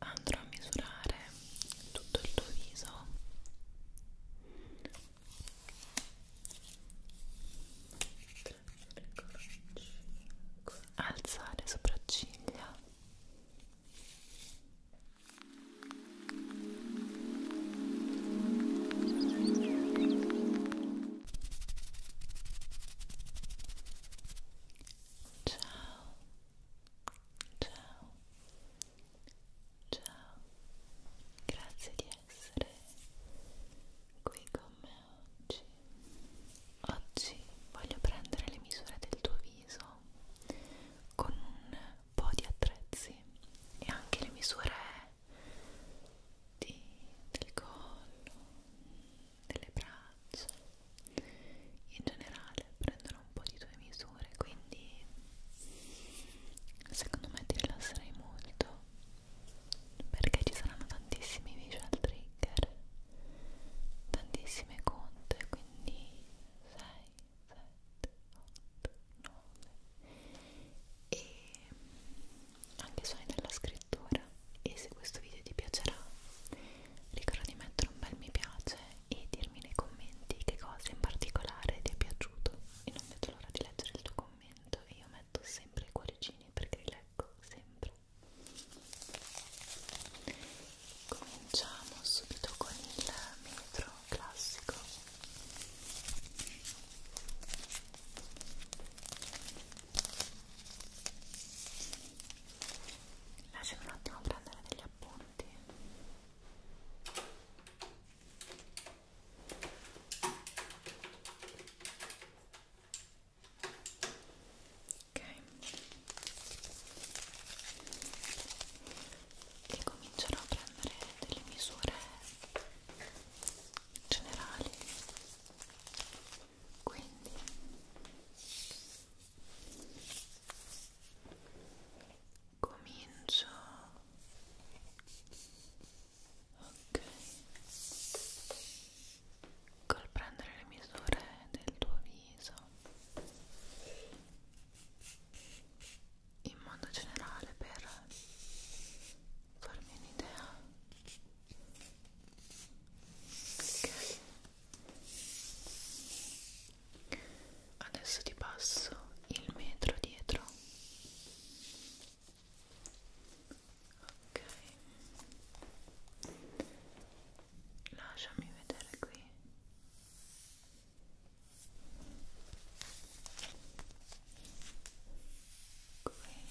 andrò a misurare tutto il tuo viso alzare sopracciglia ciao Ciao, ciao, grazie di essere qui con me oggi. Oggi voglio prendere le misure del tuo viso con un po' di attrezzi e anche le misure di, del collo delle braccia in generale prendono un po' di tue misure quindi secondo me ti rilasserai molto perché ci saranno tantissimi visual trigger tantissime conte quindi 6, 7, 8, 9 e anche suoni della scrittura e se questo video ti piacerà ricorda di mettere un bel mi piace e dirmi nei commenti che cosa in particolare ti è piaciuto e non vedo l'ora di leggere il tuo commento e io metto sempre i cuoricini perché li leggo sempre cominciamo subito con il metro classico lasciami un attimo prendere degli appunti ok e comincerò a prendere delle misure generali quindi comincio ok col prendere le misure del tuo viso in modo generale per farmi un'idea che adesso ti passo il metro dietro ok lasciami vedere qui qui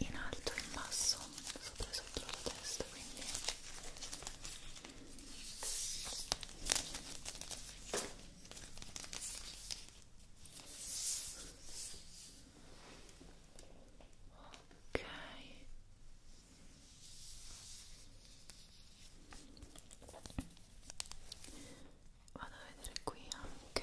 in alto e in basso, sopra e sotto la testa, quindi ok vado a vedere qui anche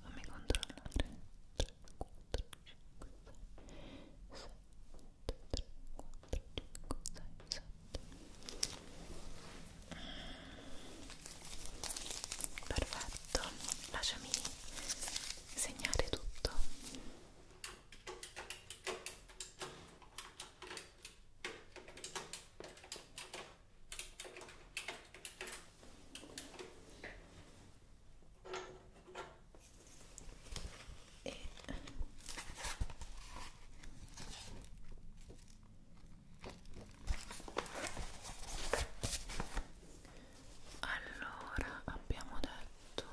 fammi controllare 3, 4, 5, 6 7, 3, 4, 5, 6, 7 perfetto lasciami segnare tutto e allora abbiamo detto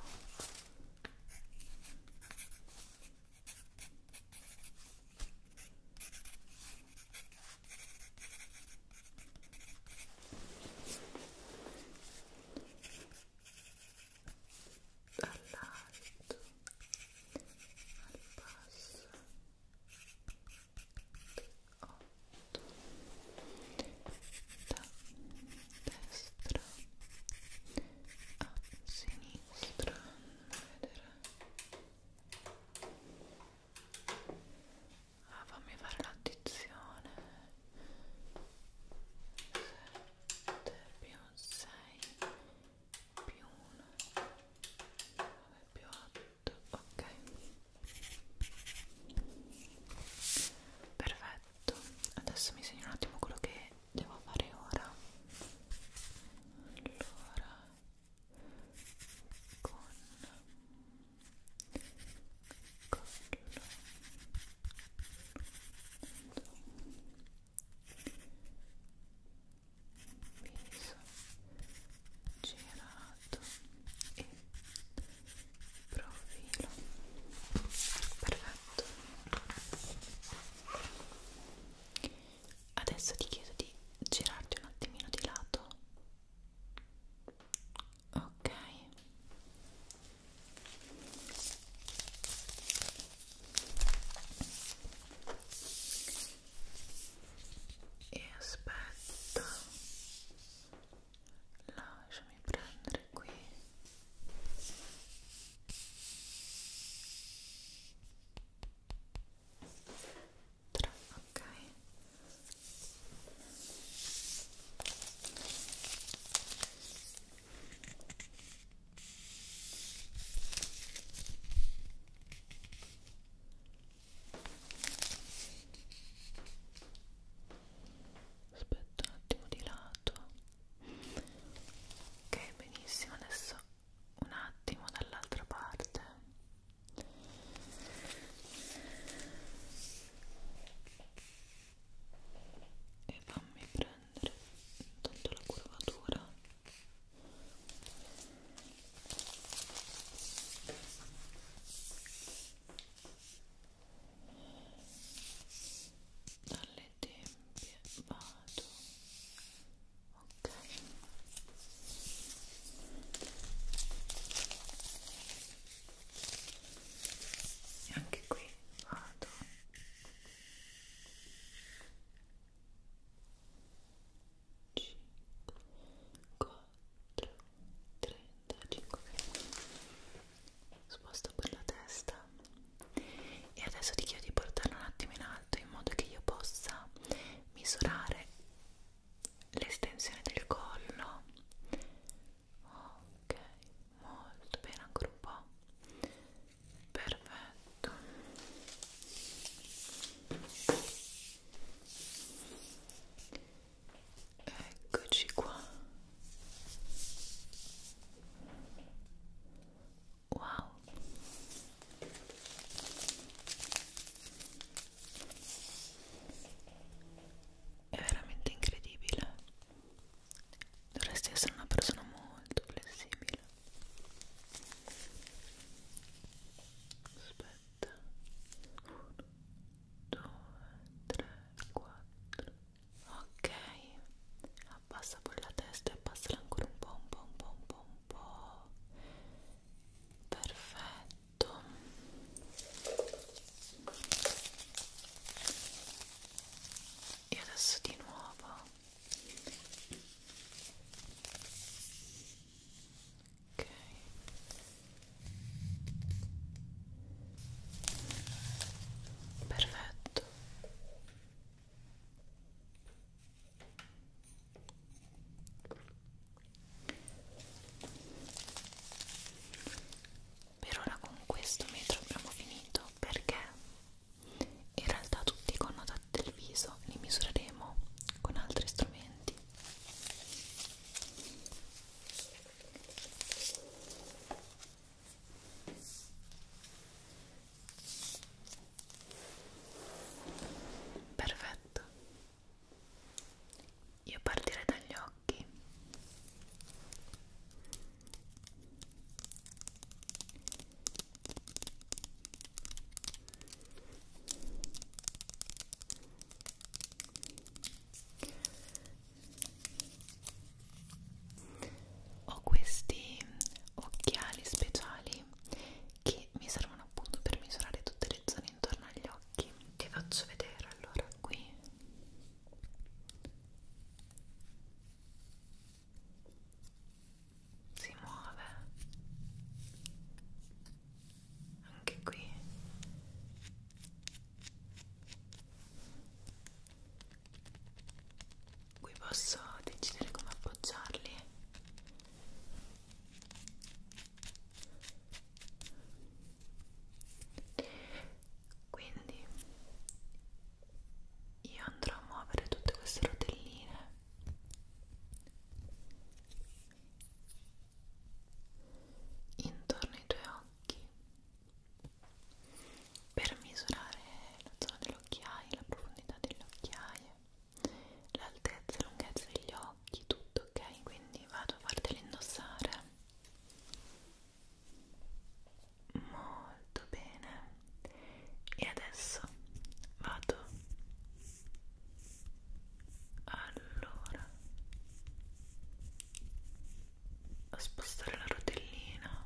dall'alto al basso 8 da destra a sinistra vedere Ah, fammi fare l'addizione 7 più 6 più 1 9 più 8 ok perfetto adesso mi segno un attimo quello che devo fare ora allora con collo viso girato e profilo perfetto adesso ti chiedo di girarti un attimino di lato ok e aspetta lasciami prendere qui ok dentro, ok? Aspetta un attimo di lato. Ok, benissimo, adesso un attimo dall'altra parte e fammi prendere intanto la curvatura dalle tempie vado ok e anche qui vado C 4 35 sposto quella testa e adesso ti chiedo di portarla un attimo in alto in modo che io possa misurare l'estensione del collo ok molto bene ancora un po' perfetto eccoci qua wow è veramente incredibile dovresti essere una persona molto flessibile aspetta 1 2 3 4 ok abbassa pure la testa e abbassala ancora un po' un po' un po' un po' un po' perfetto e adesso di nuovo ok perfetto per ora con questo metro abbiamo finito perché in realtà tutti i connotati del viso li misureremo con altri strumenti. Perfetto. Io partirei dagli occhi. Ho questi occhiali speciali che mi servono appunto per misurare tutte le zone intorno agli occhi ti faccio vedere allora qui si muove anche qui qui posso decidere come appoggiarli quindi io andrò a muovere tutte queste rotelline intorno ai tuoi occhi per misurare la zona dell'occhiaia, la profondità delle occhiaie l'altezza e lunghezza degli occhi, tutto ok, quindi vado a farteli indossare molto bene e adesso vado allora a spostare la rotellina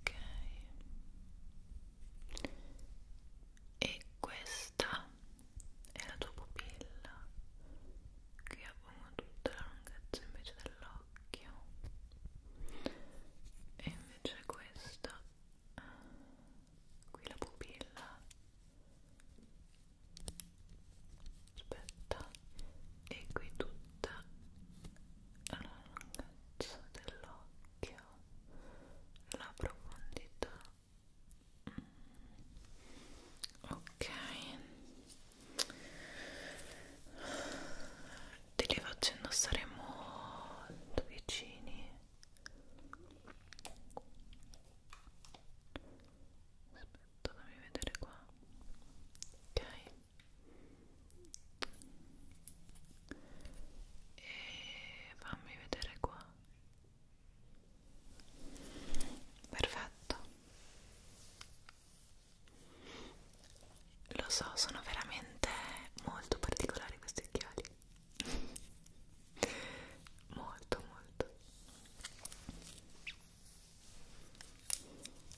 ok e questa è la tua pupilla che abbiamo tutta la lunghezza invece dell'occhio e invece questa qui la pupilla aspetta e qui tutta la lunghezza dell'occhio la profondità mm. ok te li faccio indossare molto vicini aspetta aspetta fammi vedere qua ok e fammi vedere qua perfetto lo so sono veramente molto particolari questi occhiali molto molto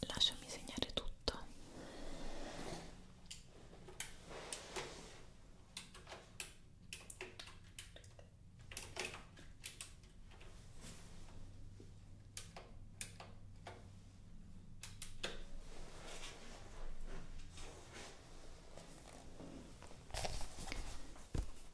lasciami segnare tutto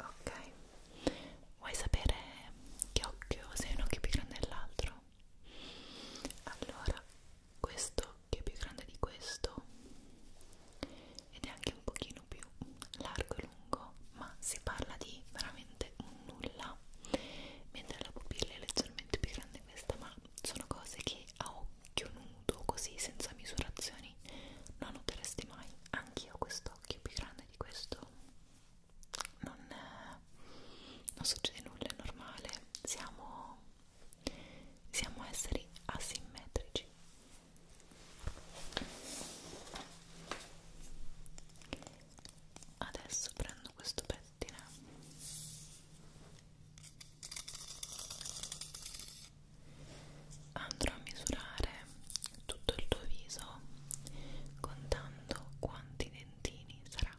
ok vuoi sapere che occhio sei un occhio più grande dell'altro? allora questo che è più grande di questo ed è anche un pochino più largo e lungo ma si parla di veramente un nulla mentre la pupilla è leggermente più grande questa ma sono cose che a occhio nudo così senza misurazioni non noteresti mai anche io quest'occhio più grande di questo non, non succede nulla è normale siamo siamo esseri asimmetrici. Adesso prendo questo pettine andrò a misurare tutto il tuo viso contando quanti dentini saranno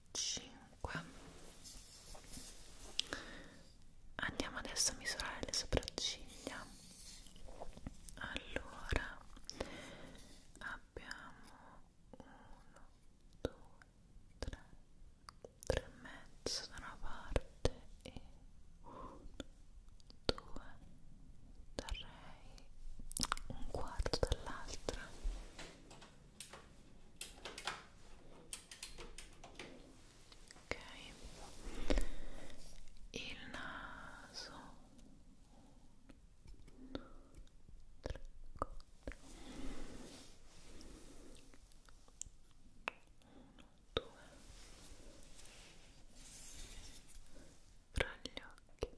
5 andiamo adesso a misurare le sopracciglia allora abbiamo 1 2 3 3 e mezzo da una parte e 1 2 3 un quarto dall'altra ok il naso 1, 3, 4 1, 2 fra gli occhi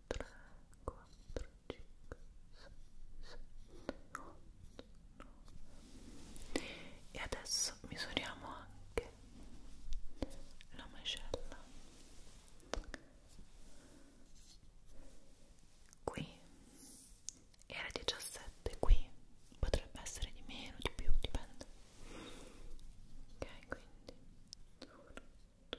3, 4, 5, 6, 7, 8, 9 e adesso misuriamo anche la mascella qui era 17 qui potrebbe essere di meno di più dipende ok quindi 1 2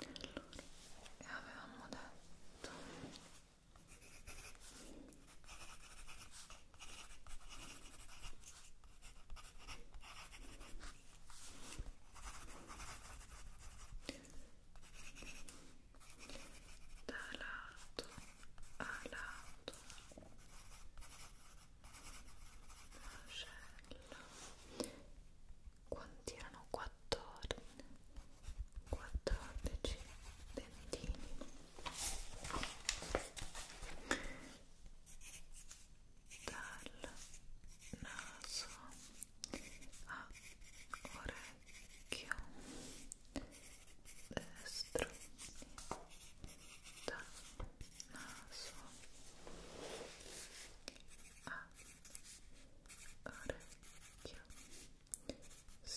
e avevamo detto da lato a lato mascella quanti erano? 14 14 dentini dal naso a orecchio destro dal naso a orecchio sinistro sopracciglio 3,5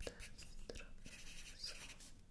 destro e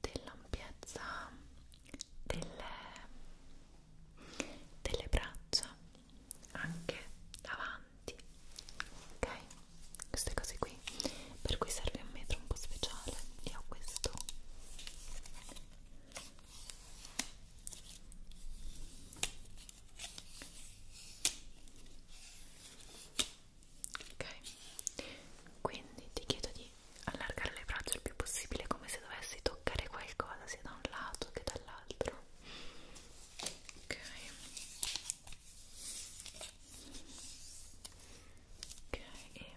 dell'ampiezza delle, delle braccia anche davanti ok queste cose qui per cui serve un metro un po' speciale e ho questo ok quindi ti chiedo di allargare le braccia il più possibile come se dovessi toccare qualcosa sia da un lato che dall'altro ok ok e ok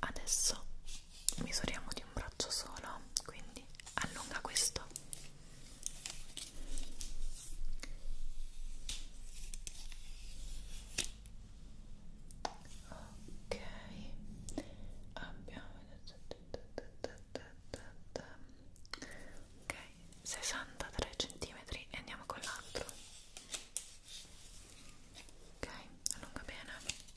adesso misuriamo di un braccio solo quindi allunga questo ok abbiamo ok 63 cm e andiamo con l'altro ok allunga bene aspetta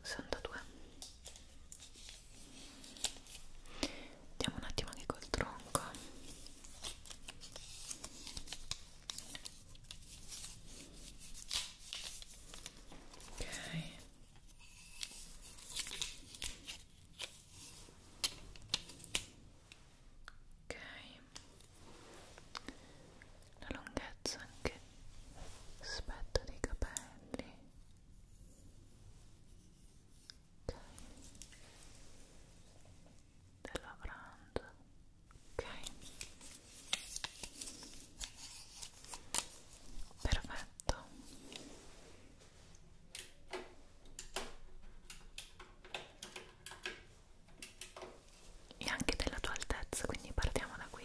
sessantadue andiamo un attimo anche col tronco ok ok la lunghezza anche aspetto dei capelli ok della brand ok perfetto e anche della tua altezza quindi partiamo da qui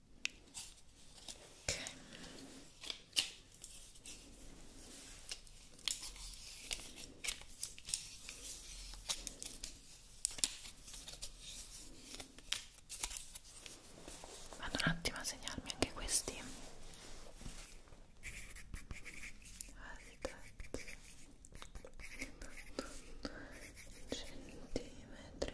ok vado un attimo a segnarmi anche questi centimetri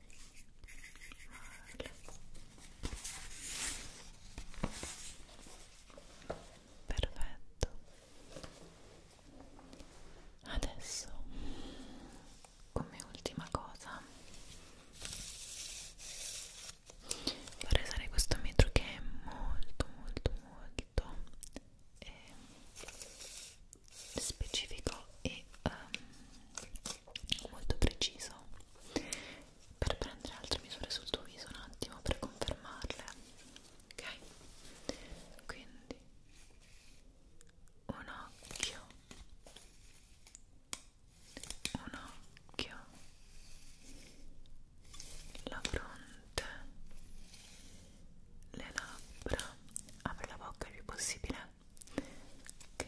Voilà. Perfetto. Adesso, come ultima cosa, vorrei usare questo metro che è molto, molto, molto eh, specifico e um, molto preciso per prendere altre misure sul tuo viso un attimo per confermarle ok quindi un occhio un occhio la fronte le labbra apri la bocca il più possibile ok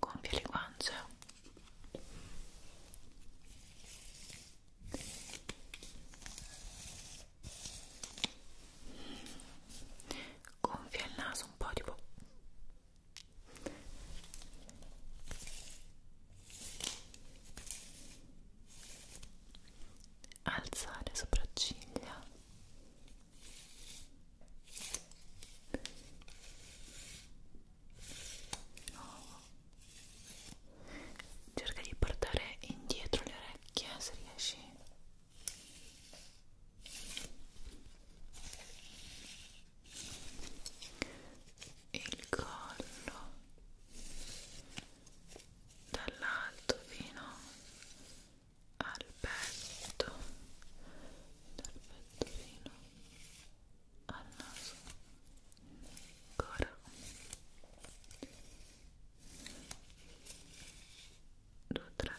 Compie le guance gonfia il naso un po' tipo alzare sopracciglia oh. cerca di portare indietro le orecchie se riesci il collo dall'alto fino al petto dal petto fino al naso ancora due tre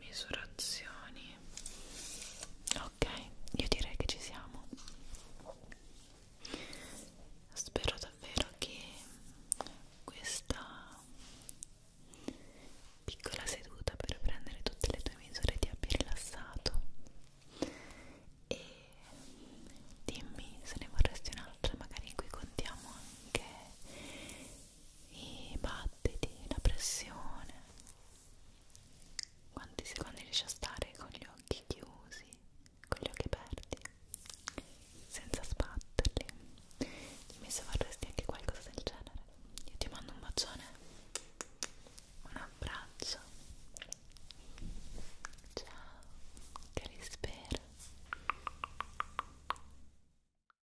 misurazioni ok io direi che ci siamo spero davvero che questa piccola seduta per prendere tutte le tue misure ti abbia rilassato e dimmi se ne vorresti un'altra magari qui contiamo anche i battiti, la pressione, quanti secondi riesci a stare con gli occhi chiusi, con gli occhi aperti, senza sbatterli. Dimmi se vorresti anche qualcosa del genere. Io ti mando un bacione, un abbraccio. Ciao, che rispera.